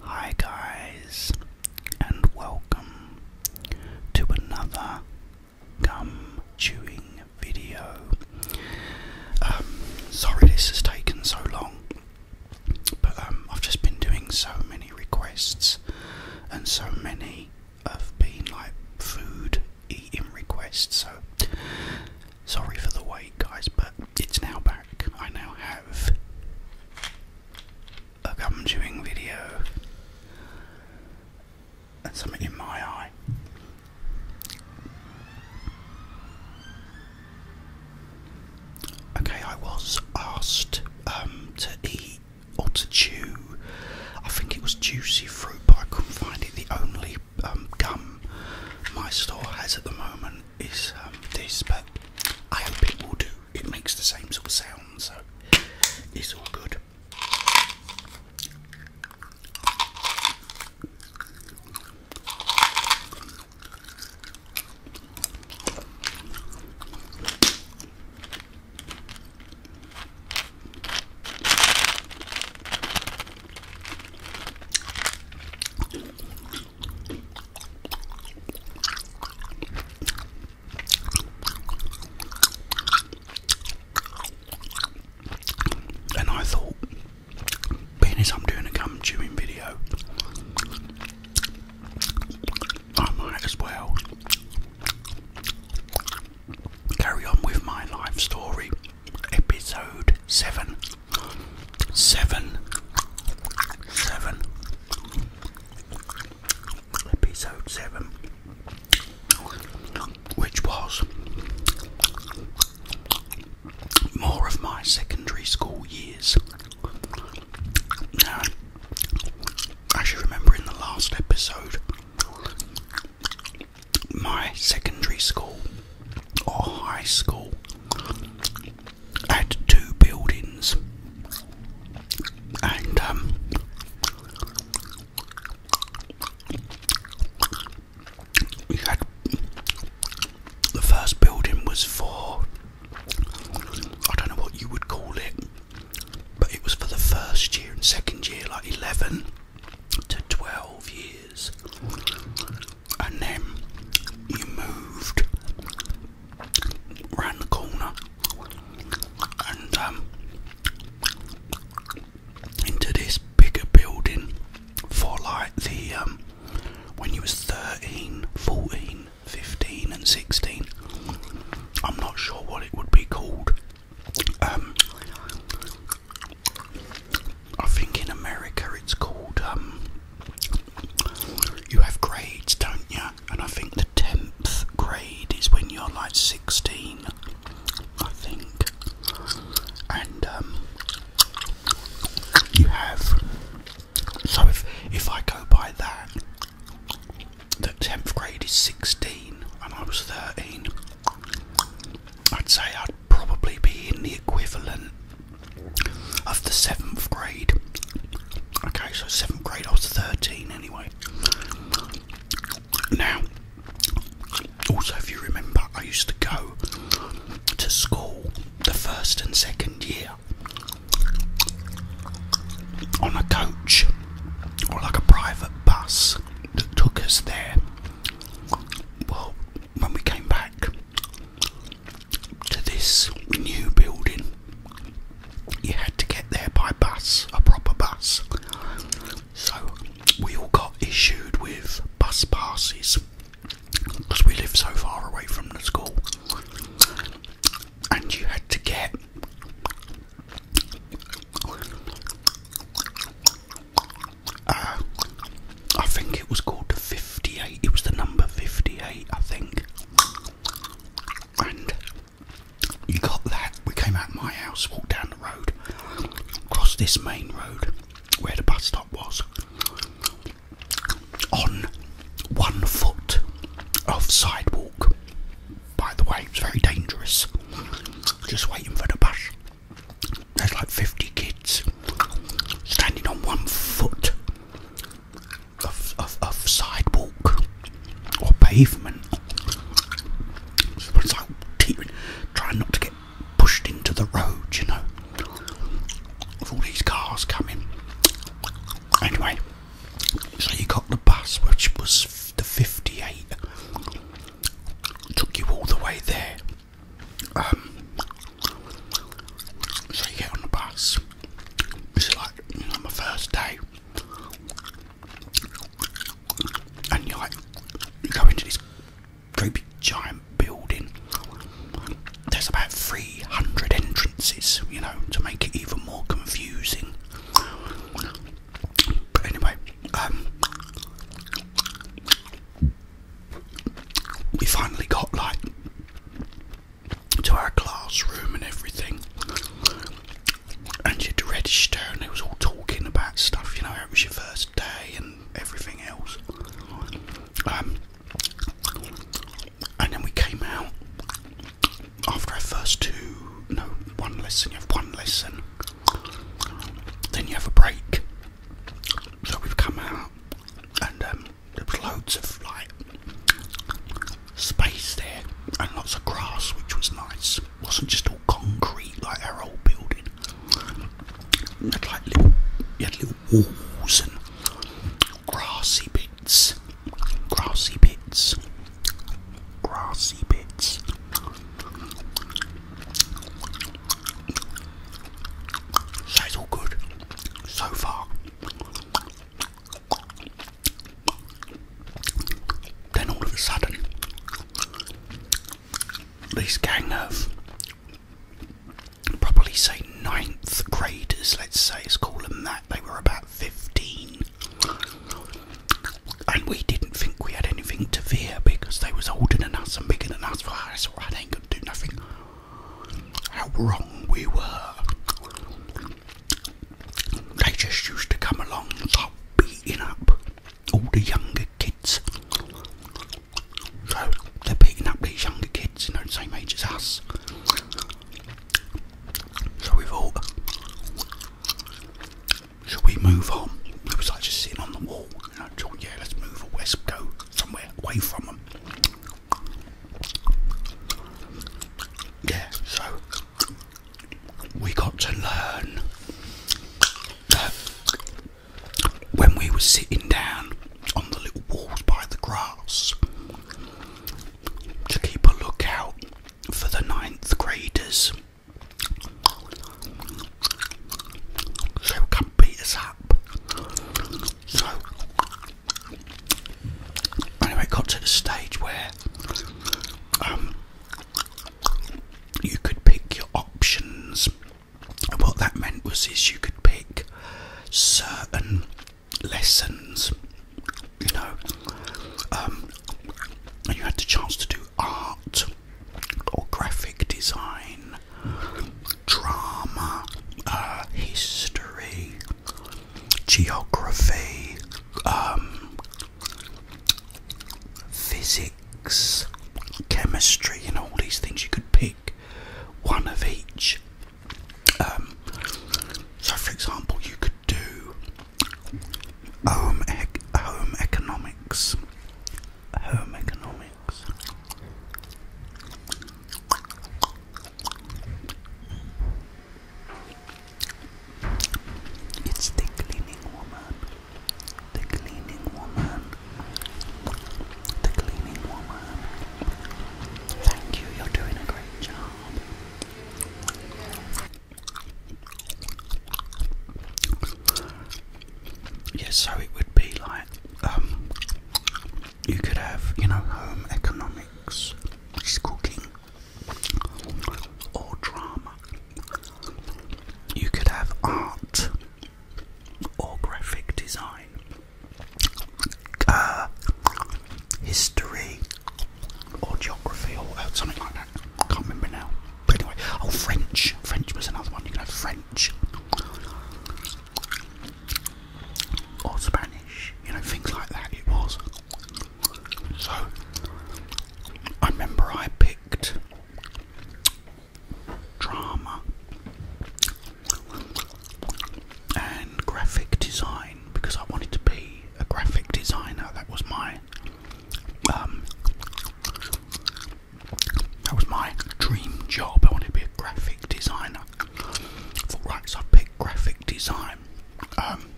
Hi, guys, and welcome to another gum chewing video. Um, sorry this has taken so long, but um, I've just been doing so many requests, and so many have been like food eating requests, so sorry for the wait, guys, but it's now back. I now have a gum chewing video and something in my eye. Okay, I was asked um, to eat or to chew. I think it was juicy fruit, but I couldn't find it. The only um, gum my store has at the moment is um, this, but I hope it do. It makes the same sort of sound, so it's all good. And I thought, being I'm doing a gum chewing video, I might as well carry on with my life story, episode 7 seven, seven, episode seven, which was more of my secondary school years. Now, I should remember in the last episode, my secondary school or high school had two buildings, and um, we had the first building was for I don't know what you would call it, but it was for the first year and second year, like eleven to twelve years and then you moved round the corner and um, into this bigger building for like the um, when you was 13 14 15 and 16 i'm not sure what it would be called um, I think in America it's called, um, you have grades, don't you? And I think the 10th grade is when you're like 16, I think. And, um, you have. So if, if I go by that, the 10th grade is 16 and I was 13, I'd say I'd probably be in the equivalent of the seventh grade. Okay, so seventh grade, I was 13 anyway. Now, also, if you remember, I used to go to school the first and second year on a coach or like a private bus that took us there. Well, when we came back, to this new building, you had to get there by bus, a proper bus. So we all got issued with bus passes because we lived so far away from the school, and you had to get. I think it was called 58, it was the number 58, I think. And you got that. We came out my house, walked down the road, across this main road where the bus stop was, on one foot of sidewalk. By the way, it was very dangerous. Just waiting for the bus. There's like 50 kids standing on one foot of, of, of sidewalk or pavement. trying not to get pushed into the road, you know, with all these cars coming. Anyway, so you got the bus, which was the 58, took you all the way there. Um, so you get on the bus. It's like you know, my first day, and you like you go into this creepy giant building. There's about three hundred entrances, you know, to make it even more confusing. But anyway, um, we finally got like to our classroom and everything, and you'd register, and it was all talking about stuff. You know, it was your first day and everything else. Um, and then we came out after our first two, no, one lesson. You have one lesson, then you have a break. So we've come out and um, there was loads of like space there and lots of grass, which was nice. wasn't just all concrete like our old building. You had like little, you had little walls and grassy bits, grassy bits, grassy bits. So all good so far. Then all of a sudden, this gang of probably say ninth graders, let's say, let's call them that, they were about 15. And we didn't think we had anything to fear because they was older than us and bigger than us. Well, that's alright, ain't gonna do nothing how wrong we were. They just used to come along start beating up all the younger kids. So they're beating up these younger kids, you know, the same age us. So we thought, should we move on? It was just sitting on the wall yeah, let's move west, go somewhere away from them. Yeah, so we got to learn that when we were sitting down on the little walls by the grass to keep a lookout for the ninth graders. So come beat us up. So, anyway, it got to the stage where um, you could pick your options. And what that meant was is you could pick certain lessons, you know, um, and you had the chance to do art or graphic design drama, uh, history, geography, um, physics, chemistry, and all these things. You could pick one of each. Um, so, for example, you could do um, home economics, home economics. It's the cleaning woman. The cleaning woman. The cleaning woman. Thank you, you're doing a great job. Yeah, so it would be like, um, you could have, you know, home economics, which is cooking, or drama. You could have art, or graphic design, uh, history, or geography, or uh, something like that. I can't remember now. But anyway, oh, French. French was another one. You could have French or Spanish, you know, things like that. It was so. I remember I picked drama and graphic design because I wanted to be a graphic designer. That was my um, that was my dream job. I wanted to be a graphic designer. For right, so I picked graphic design. Um,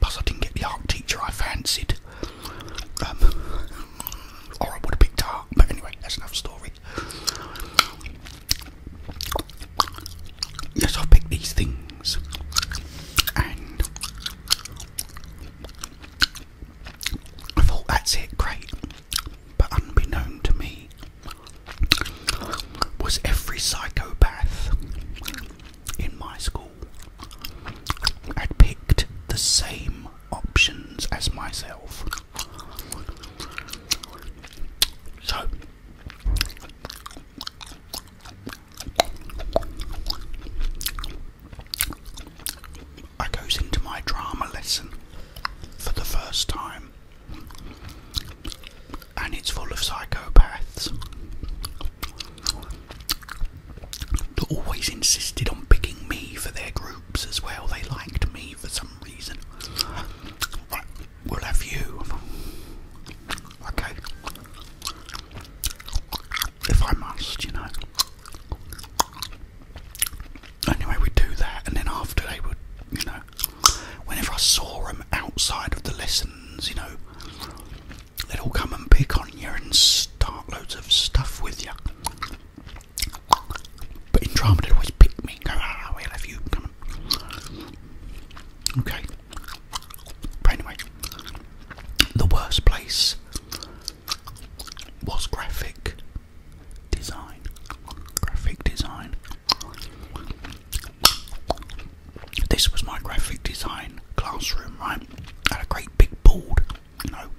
plus, I didn't get the art teacher I fancied. Um, or I would have picked art. But anyway, that's another story. Yes, I picked these things. And I thought that's it, great. But unbeknown to me was every psychopath in my school had picked the same options as myself. So I goes into my drama lesson for the first time, and it's full of psychopaths that always insisted on picking me for their groups as well. They liked me for some reason. Right, we you. Okay if I must, you know. Anyway, we'd do that, and then after they would, you know, whenever I saw them outside of the lessons, you know, they'd all come and pick on you and start loads of stuff with you. But in drama, they'd always pick me ah, we'll you, Okay. But anyway, the worst place was graphic design. Graphic design. This was my graphic design classroom, right? I had a great big board, you know.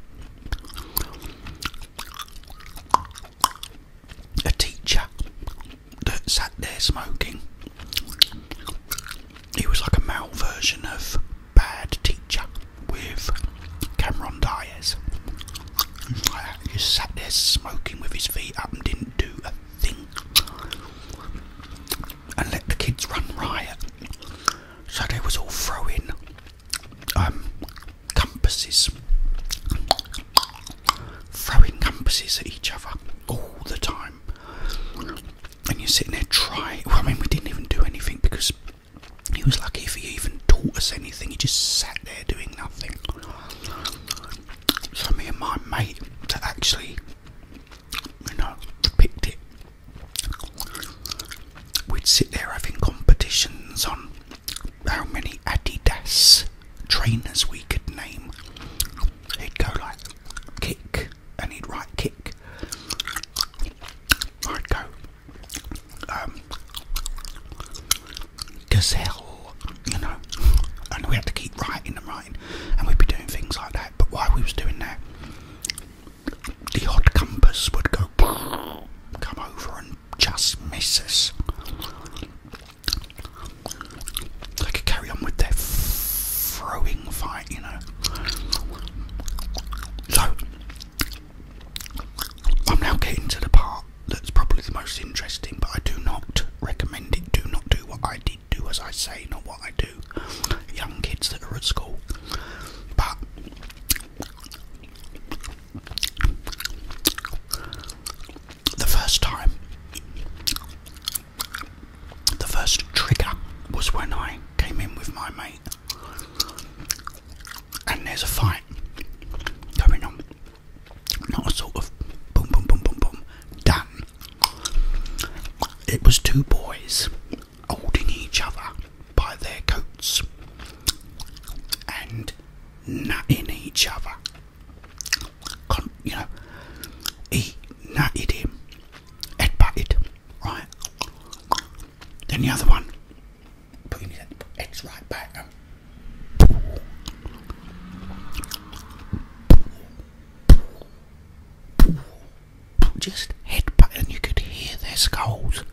A teacher that sat there smoking. He was like a male version of Bad Teacher with Cameron Diaz. just sat there smoking with his feet up and didn't do a thing. And let the kids run riot. So they was all throwing um, compasses. Throwing compasses at each other all the time. And you're sitting there trying. Well, I mean, we didn't even do anything because he was lucky if he even taught us anything, he just sat there doing nothing. So, me and my mate that actually, you know, picked it, we'd sit there having competitions on how many Adidas trainers we could name. He'd go like kick and he'd write kick. I'd go um, gazelle, you know, and we had to keep writing and writing, and we'd be doing things like that. But while we was doing that, the odd compass would go come over and just miss us. They could carry on with their throwing fight, you know. So I'm now getting to the part that's probably the most interesting, but I do not recommend it. Do not do what I did. Do as I say, not what I do. Young kids that are at school. But the first time, the first trigger was when I came in with my mate and there's a fight going on. Not a sort of boom, boom, boom, boom, boom, done. It was two boys holding each other by their coats and nutting each other. you know, he nutted him, headbutted, right? Then the other one, put your heads right back. Um. Just headbutt, and you could hear their skulls.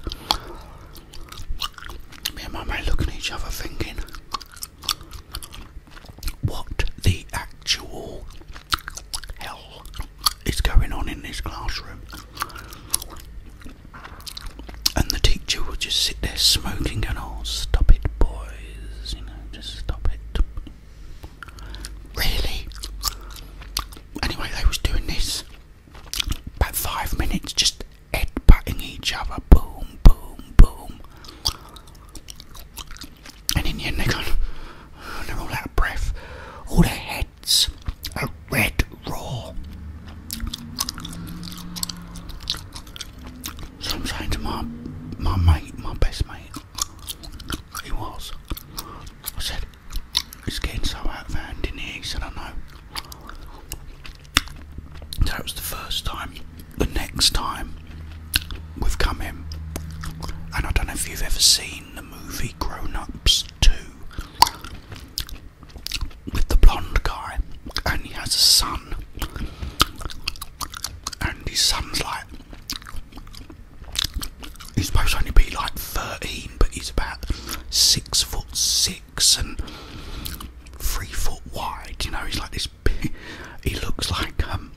Me and my mate looking at each other, thinking, "What the actual hell?" is going on in this classroom. And the teacher will just sit there smoking, going, "Oh, stop it, boys! You know, just stop it." Really? Anyway, they was doing this about five minutes, just head butting each other, boom, boom, boom. And in your end, they're going, they're all out of breath. All their hair it's a red raw. So my my mate, my best mate, he was. I said, it's getting so out of hand in here. He said, I know. that was the first time. The next time we've come in, and I don't know if you've ever seen the movie Grown Ups 2, with the blonde guy, and he has a son, and his son's like he's supposed to only be like 13, but he's about six foot six and three foot wide. You know, he's like this. he looks like um,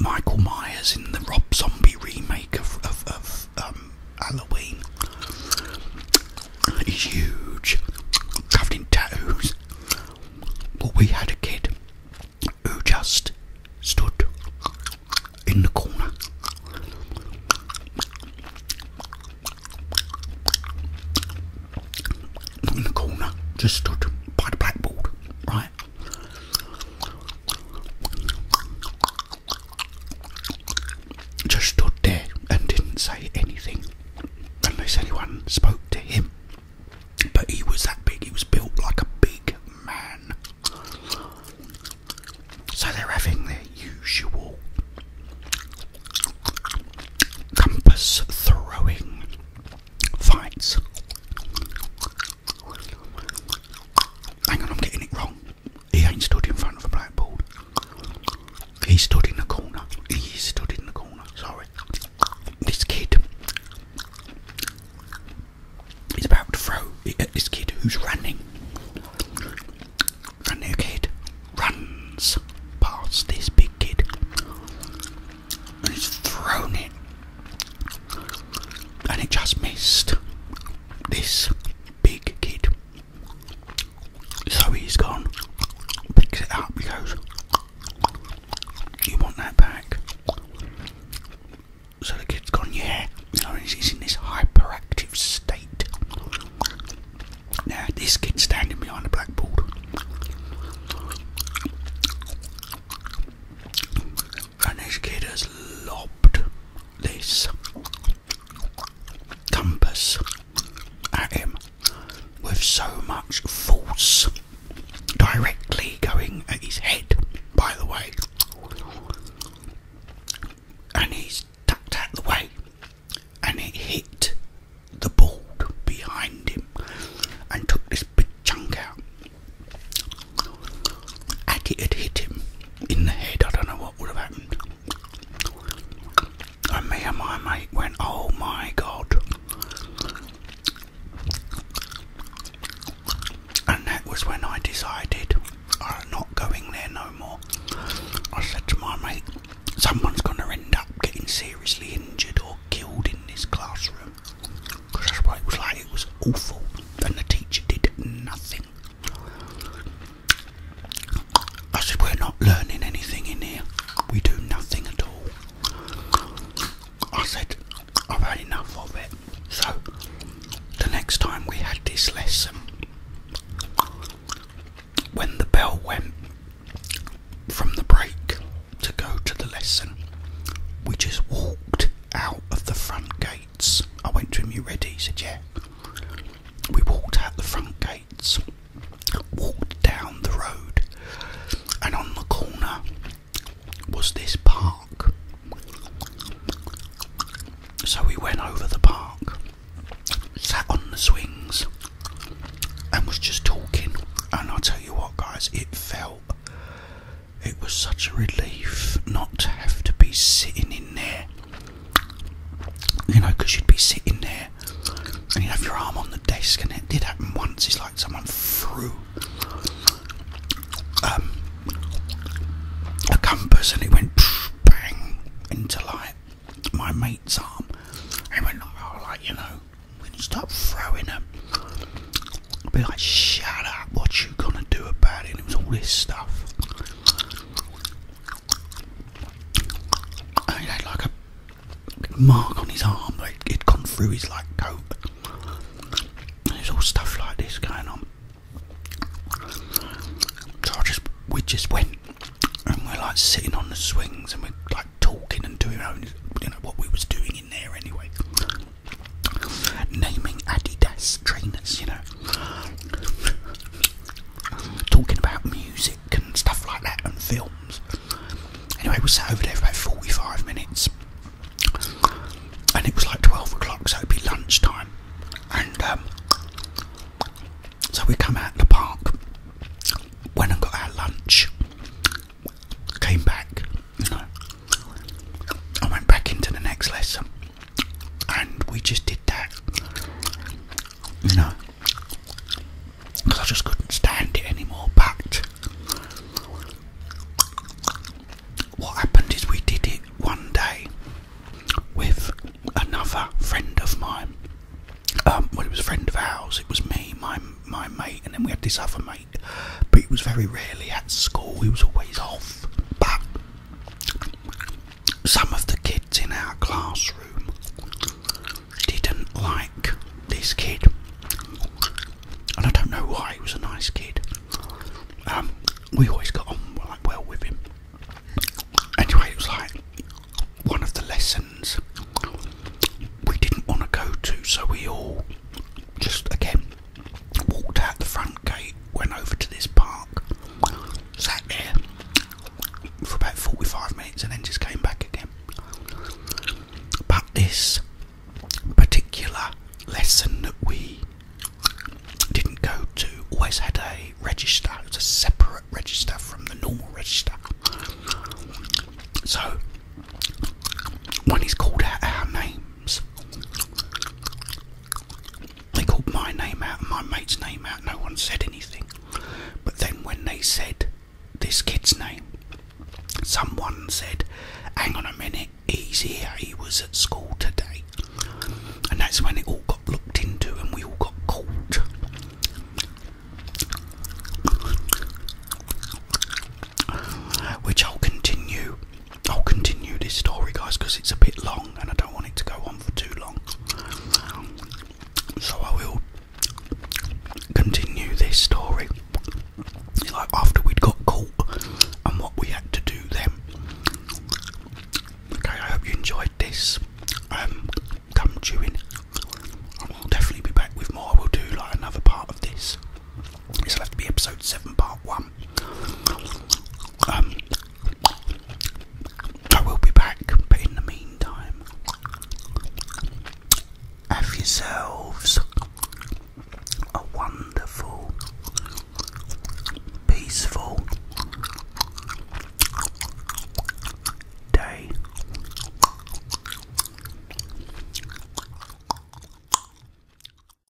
Michael Myers in the Rob Zombie remake of of, of um, Halloween is huge, covered in tattoos. But we had a kid who just stood in the corner. Not in the corner, just stood by the blackboard, right? just stood there and didn't say anything unless anyone spoke to him. But he was that big, he was built like a big man. So they're having their usual compass throwing fights. Hang on, I'm getting it wrong. He ain't stood in front of a blackboard. He stood in the corner. He stood in the corner. Sorry. This kid is about to throw it at this kid who's running. running, the kid runs past this big kid and he's thrown it. And it just missed this big kid. So he's gone, picks it up, he goes, You want that back? So the kid's gone, Yeah. Now he's in this hyperactive state. Now, this kid's standing behind the blackboard and kid has lobbed this compass at him with so much force directly going at his head, by the way. And he's tucked out the way, and it hit the board behind him and took this big chunk out. Had had hit him in the head, I don't know what would have happened. And me and my mate went, oh my god. And that was when I decided I'm not going there no more. I said to my mate, someone's going to end up getting seriously injured or killed in this classroom. Because that's what it was like, it was awful. And the teacher did nothing. I said, We're not learning anything in here. We do nothing at all. I said, I've had enough of it. So, the next time we had this lesson, when the bell went from the break to go to the lesson, we just walked out of the front gate I went to him, you ready? He said, yeah. We walked out the front gates, walked down the road, and on the corner was this park. So we went over the park, sat on the swings, and was just talking. And I'll tell you what, guys, it felt it was such a relief not to have to be sitting in there. You know, because you'd be sitting there and you'd have your arm on the desk, and it did happen once. It's like someone threw um, a compass and it went bang into like my mate's arm. And went, oh, like, you know, when you start throwing them, I'd be like, shut up, what you gonna do about it? it was all this stuff. like a mark on his arm, like it'd gone through his like coat. There's all stuff like this going on. I just we just went and we're like sitting on the swings and we're like talking and doing own, you know what we was doing in there anyway naming Adidas trainers, you know, talking about music and stuff like that and films. Anyway, we sat over there for about 45 minutes and it was like 12 o'clock, so it'd be lunchtime. And um, so we come out of the park, went and got our lunch, came back, you know, I went back into the next lesson and we just did that. You know, because I just couldn't stand it anymore. But what happened is we did it one day with another friend of mine. Um, well, it was a friend of ours. It was me, my my mate, and then we had this other mate. But he was very rarely at school. He was always off. But some of the kids in our classroom didn't like this kid, and I don't know why. He was a nice kid. Um, we always got on like well with him. Anyway, it was like one of the lessons we didn't want to go to, so we all just again walked out the front gate, went over to this park, sat there for about 45 minutes and then just came back again. But this particular lesson that we didn't go to always had a register, it was a separate register from the normal register. So when he's called out our name, names. They called my name out and my mate's name out, no one said anything. But then when they said this kid's name, someone said, Hang on a minute, he's here, he was at school today. And that's when it all got looked into and we all got caught. Which I'll continue I'll continue this story, guys, because it's a bit long and I don't want it to go on for too long. So I will continue this story. Like after we'd got caught and what we had to do then. Okay, I hope you enjoyed this. Um, come chewing. I will definitely be back with more. I will do like another part of this. This will have to be episode 7, part 1. Um, I will be back, but in the meantime, have yourselves a wonderful, peaceful day.